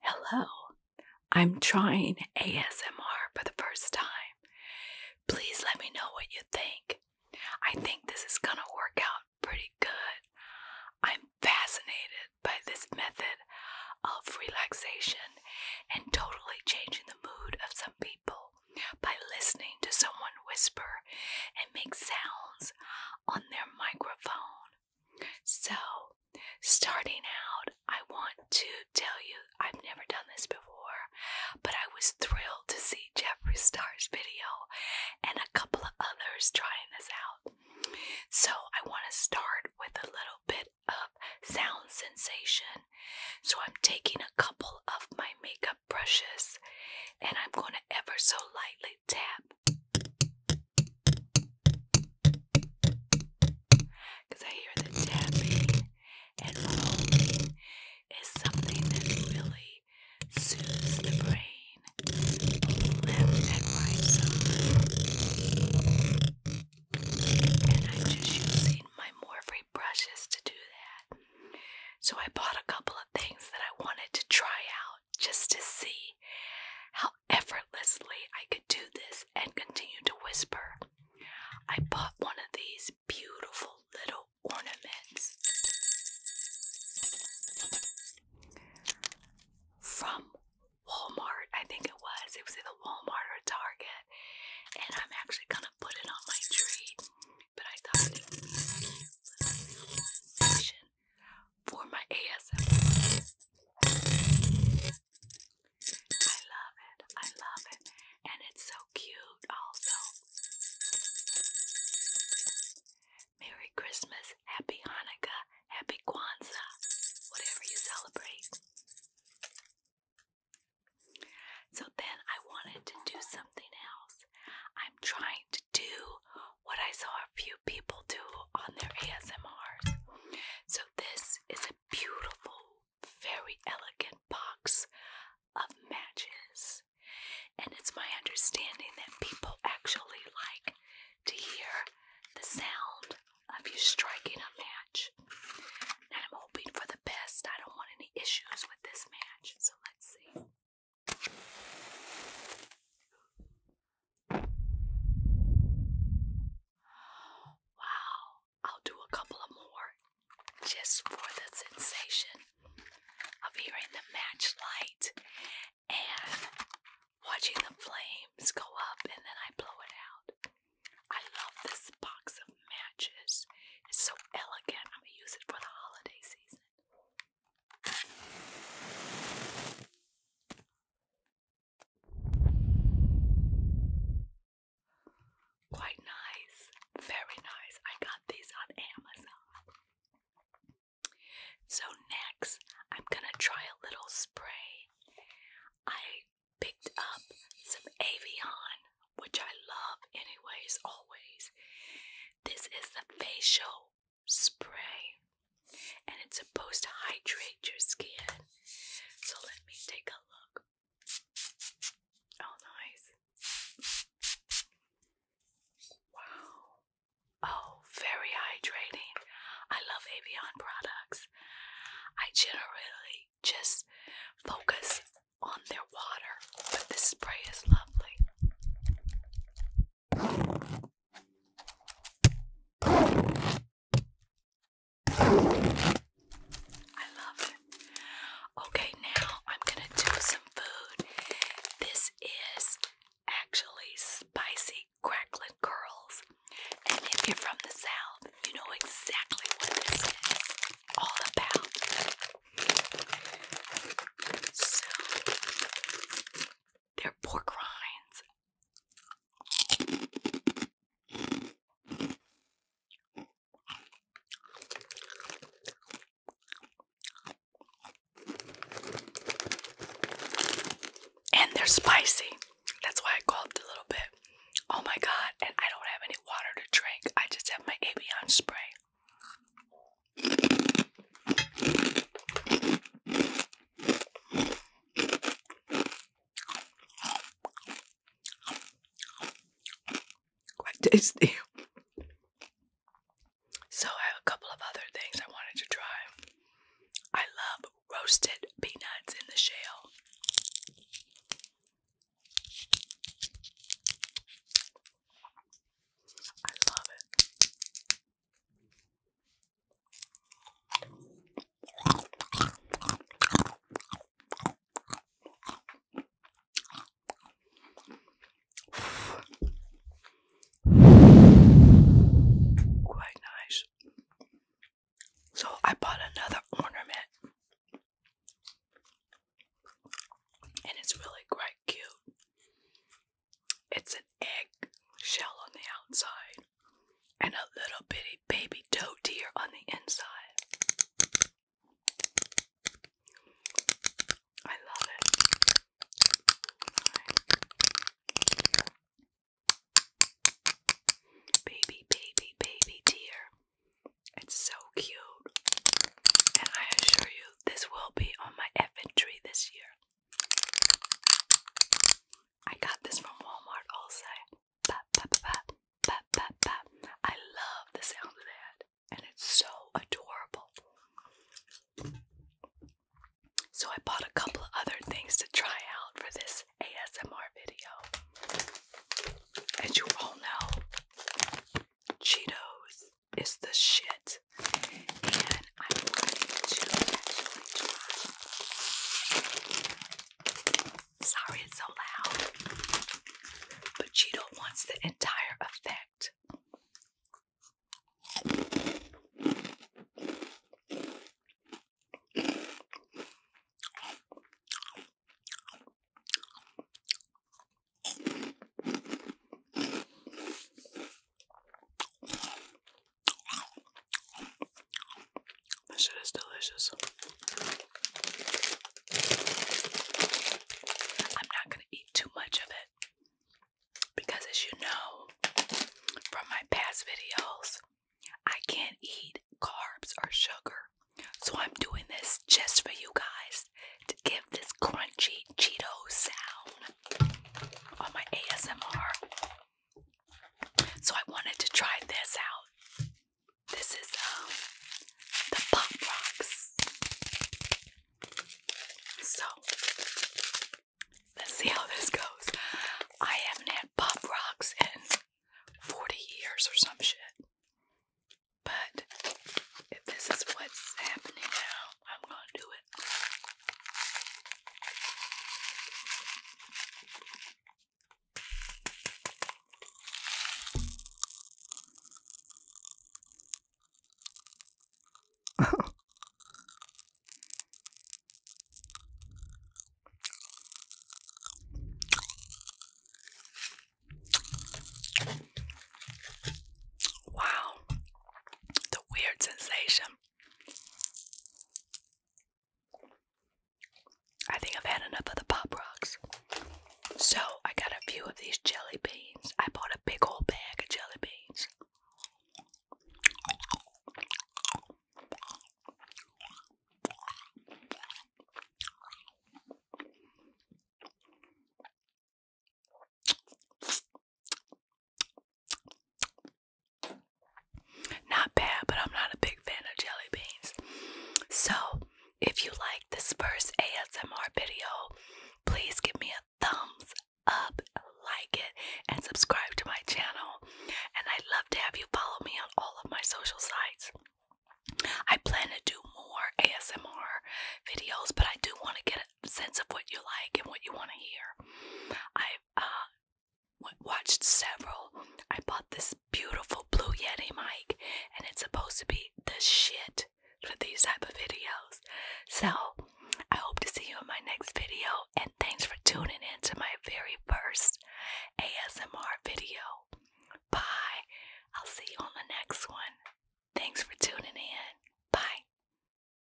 Hello, I'm trying ASMR for the first time. Please let me know what you think. I think this is gonna work out pretty good. I'm fascinated by this method of relaxation and totally changing the mood of some people by listening to someone whisper and make sounds on their microphone. So, starting out, I want to tell you I've never done this before, but I was thrilled to see Jeffree Star's video and a couple of others trying this out. So, I want to start with a little bit of sound sensation so I'm taking a couple of my makeup brushes and I'm going to ever so lightly tap. I hear the tapping and rolling is something that really soothes the brain. left and right side. And I'm just using my Morphe brushes to do that. So I bought a couple of things that I wanted to try out just to see how effortlessly I could do this and continue to whisper. I bought one of these beautiful little ornaments from Walmart. I think it was. It was in either Walmart or Target and I'm actually gonna put it on my tree. But I thought it would be a cute little for my ASMR. I love it. I love it. And it's so cute also. Merry Christmas, Happy Hanukkah, Happy Kwanzaa, whatever you celebrate. So then I wanted to do something else. I'm trying to do what I saw a few people do on their ASMRs. So this is a beautiful, very elegant box of matches. And it's my understanding that people actually like to hear the sound of you striking a match. And I'm hoping for the best. I don't want any issues with this match. So let's see. Wow. I'll do a couple of more just for the sensation of hearing the match light and watching the flames go up and then I blow it out. I love this box of matches. It's so elegant. I'm gonna use it for the holiday season. Quite nice. Very nice. I got these on Amazon. So next, I'm going to try a little spray. I picked up some Avion, which I love anyways, always. This is the facial spray, and it's supposed to hydrate your skin. So let me take a look. Oh, nice. Wow. Oh, very hydrating. I love Avion products. I generally just focus on their water, but this spray is lovely. I love it. Okay, now I'm going to do some food. This is actually spicy crackling curls. And if you're from the South, you know exactly what this is all about. they're pork rinds. And they're spicy. That's why I gulped a little bit. Oh my god, and I don't have any water to drink. I just have my Avion spray. Quite tasty. So I have a couple of other things I wanted to try. I love roasted peanuts in the shell. I love it. Quite nice. So I bought another ornament. And it's really quite cute. It's an egg shell on the outside and a little bitty baby doe deer on the inside. I love it. Baby, baby, baby dear. It's so cute. And I assure you, this will be on my effing tree this year. I got this from Walmart also. I love the sound of that and it's so adorable. So I bought a couple of other things to try out for this ASMR video. As you all know, Cheetos is the shit. And I'm going to actually try Sorry it's so loud. But Cheeto wants the entire effect. This shit is delicious. I'm not gonna eat too much of it because, as you know from my past videos, I can't eat carbs or sugar. So I'm doing this just for you guys to give this crunchy Cheeto sound on my ASMR. So I wanted to try this out. This is um the pop rocks. So let's see how this goes. I haven't had pop rocks in 40 years or some shit. But if this is what's happening now, I'm gonna do it wow, the weird sensation. I think I've had enough of the Pop Rocks. So I got a few of these jelly beans. I bought a big old bag of jelly beans. Not bad, but I'm not a big fan of jelly beans. So, if you like this first ASMR video, please give me a thumbs up, like it, and subscribe to my channel. And I'd love to have you follow me on all of my social sites. I plan to do more ASMR videos, but I do want to get a sense of what you like and what you want to hear. I uh, watched several. I bought this beautiful Blue Yeti mic, and it's supposed to be the shit for these type of videos. So I hope to see you in my next video, and thanks for tuning in to my very first ASMR video. Bye. I'll see you on the next one. Thanks for tuning in. Bye.